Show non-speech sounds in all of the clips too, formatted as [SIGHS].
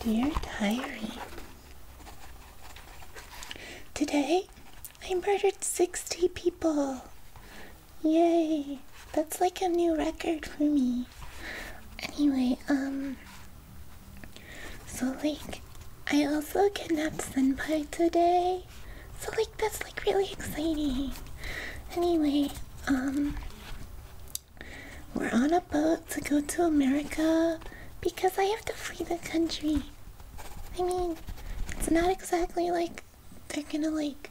Dear Diary, today I murdered 60 people. Yay! That's like a new record for me. Anyway, um. So, like, I also kidnapped Senpai today. So like that's like really exciting. Anyway, um we're on a boat to go to America because I have to flee the country. I mean, it's not exactly like they're gonna like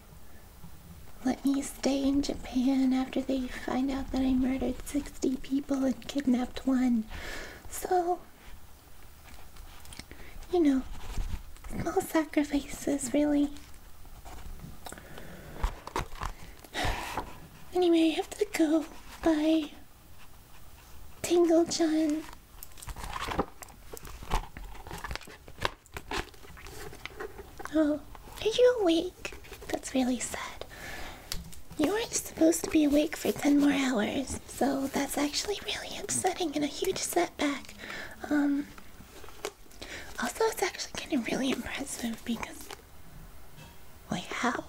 let me stay in Japan after they find out that I murdered 60 people and kidnapped one. So you know, small sacrifices, really. Anyway, I have to go. Bye. Tingle John. Oh, are you awake? That's really sad. You weren't supposed to be awake for 10 more hours. So that's actually really upsetting and a huge setback. Um, also, it's actually getting really impressive because, like, how?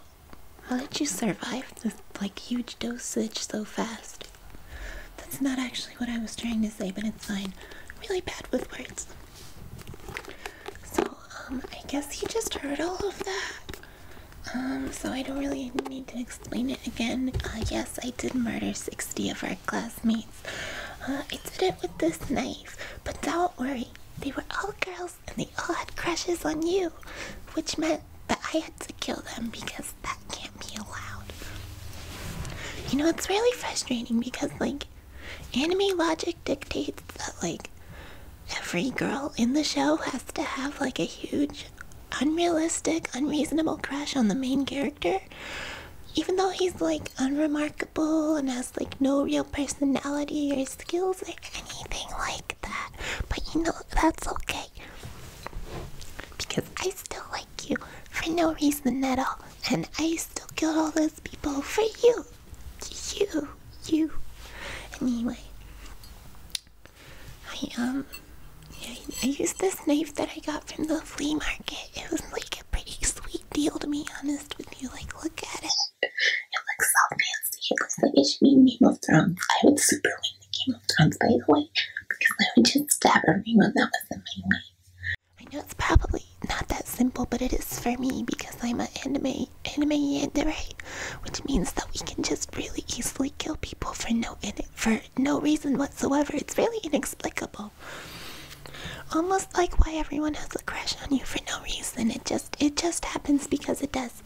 How did you survive this like huge dosage so fast? That's not actually what I was trying to say, but it's fine. really bad with words. So, um, I guess you just heard all of that. Um, so I don't really need to explain it again. Uh, yes, I did murder 60 of our classmates. Uh, I did it with this knife, but don't worry, they were all girls and they all had crushes on you, which meant that I had to kill them because that can't be allowed. You know, it's really frustrating because, like, anime logic dictates that, like, every girl in the show has to have, like, a huge unrealistic, unreasonable crush on the main character, even though he's like unremarkable and has like no real personality or skills or anything like that. But you know, that's okay. Because I still like you for no reason at all. And I still killed all those people for you. You. You. Anyway. I um, I, used this knife that I got from the flea market. It was like a pretty sweet deal, to be honest with you. Like, look at it. It looks so fancy. It looks like it should be in Game of Thrones. I would super win the Game of Thrones, by the way, because I would just stab everyone that was in my way. I know it's probably not that simple, but it is for me because I'm an anime anime anime right? which means that we can just really easily kill people for no for no reason whatsoever. It's really inexplicable. Almost like why everyone has a crush on you for no reason. It just it just happens because it does.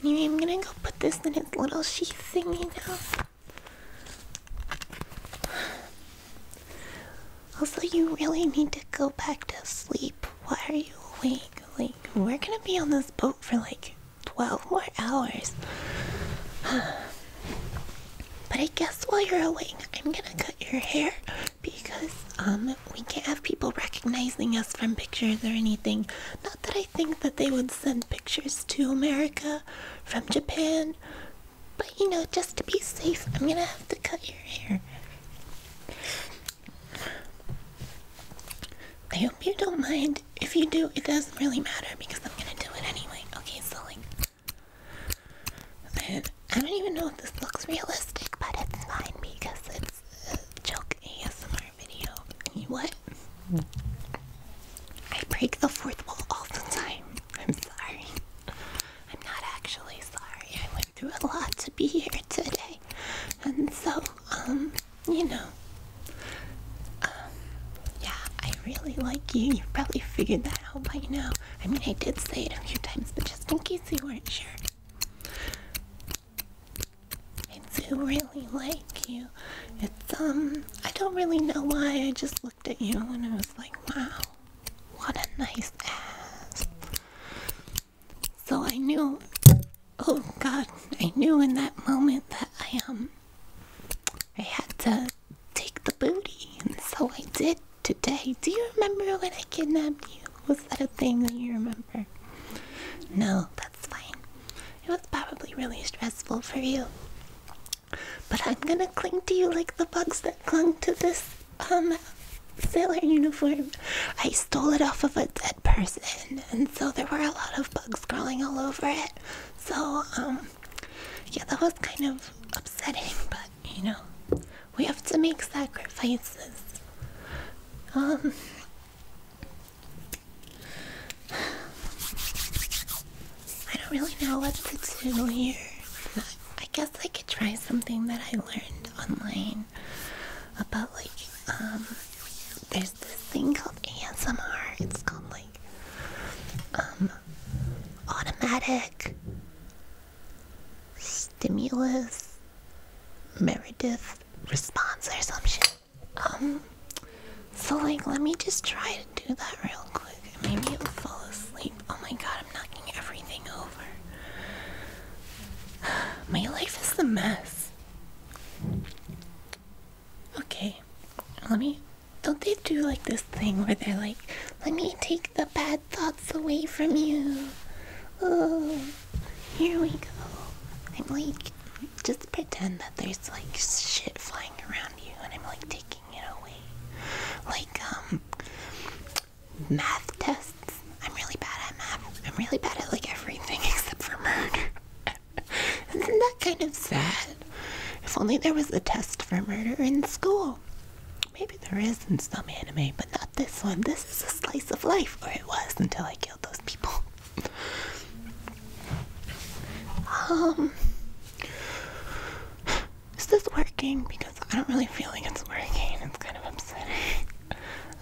Anyway, I'm gonna go put this in its little sheathing now. Also, you really need to go back to sleep. Why are you awake? Like, we're gonna be on this boat for like 12 more hours. [SIGHS] but I guess while you're awake, I'm gonna cut your hair because um we can't have people recognizing us from pictures or anything. Not that I think that they would send pictures to America from Japan, but you know, just to be safe, I'm gonna have to cut your hair. I hope you don't mind. If you do, it doesn't really matter because I'm gonna do it anyway. Okay, so like. I, I don't even know if this looks realistic, but it's fine because it's a joke ASMR video. what? I break the fourth wall all the time. I'm sorry. I'm not actually sorry through a lot to be here today. And so, um, you know, um, yeah, I really like you. you probably figured that out by now. I mean, I did say it a few times, but just in case you weren't sure. I do really like you. It's, um, I don't really know why. I just looked at you and I was like, wow, what a nice ass. So I knew, oh God, I knew in that moment that I um, I had to take the booty, and so I did today. Do you remember when I kidnapped you? Was that a thing that you remember? No, that's fine. It was probably really stressful for you. But I'm gonna cling to you like the bugs that clung to this um sailor uniform. I stole it off of a dead person, and so there were a lot of bugs crawling all over it. So, um, yeah, that was kind of upsetting, but you know, we have to make sacrifices. Um, I don't really know what to do here. I guess I could try something that I learned online about like um there's this thing called ASMR. It's called like um automatic stimulus Meredith response or some shit. Um so like let me just try do that real quick. Maybe you'll fall asleep. Oh my god, I'm knocking everything over. [SIGHS] My life is a mess. Okay, let me. Don't they do like this thing where they're like, let me take the bad thoughts away from you? Oh, here we go. I'm like, just pretend that there's like shit flying around you, and I'm like, taking like, um, math tests. I'm really bad at math. I'm really bad at like everything [LAUGHS] except for murder. [LAUGHS] Isn't that kind of sad? If only there was a test for murder in school. Maybe there is in some anime, but not this one. This is a slice of life, or it was until I killed those people. [LAUGHS] Um, is this working? Because I don't really feel like it's working. It's kind of upsetting. [LAUGHS]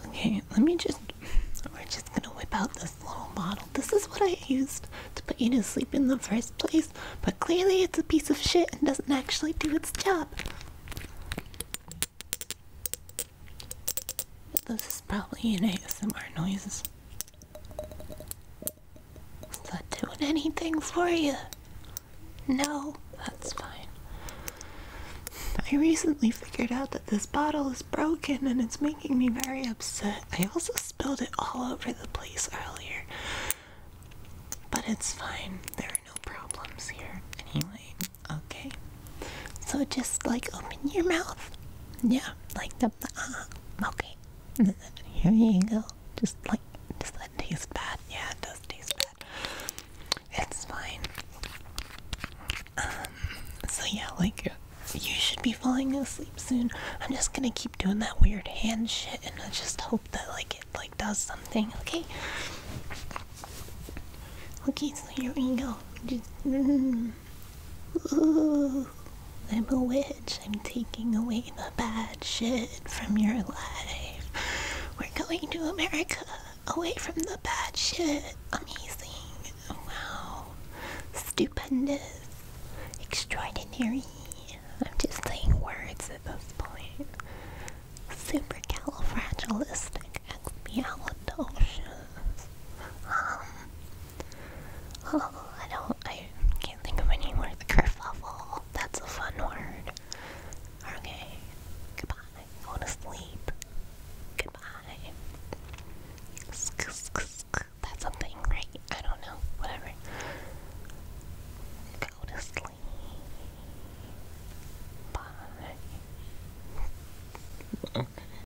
Okay, let me just. We're just gonna whip out this little bottle. This is what I used to put you to sleep in the first place, but clearly it's a piece of shit and doesn't actually do its job. this is probably an ASMR noises. Is that doing anything for you? No, that's fine. I recently figured out that this bottle is broken and it's making me very upset. I also spilled it all over the place earlier. But it's fine. There are no problems here. Anyway, okay. So just like open your mouth. Yeah, like the. Uh, okay. [LAUGHS] Here you go. Just like does that taste bad? Yeah, it does taste bad. It's fine. Um, so yeah, like you should be falling asleep soon. I'm just gonna keep doing that weird hand shit and I just hope that like it like does something, okay? Okay, so here we go. Just, [LAUGHS] mm-hmm. Ooh, I'm a witch. I'm taking away the bad shit from your life. We're going to America, away from the bad shit. Amazing. Wow. Stupendous. Extraordinary. I'm just saying words at this point. Supercalifragilisticexpialidocious. Um, Oh, [LAUGHS] I don't. I can't think of any more. The kerfuffle. That's a fun word. Okay. Goodbye. Go to sleep. Goodbye. That's something, right? I don't know. Whatever. Go to sleep. Bye.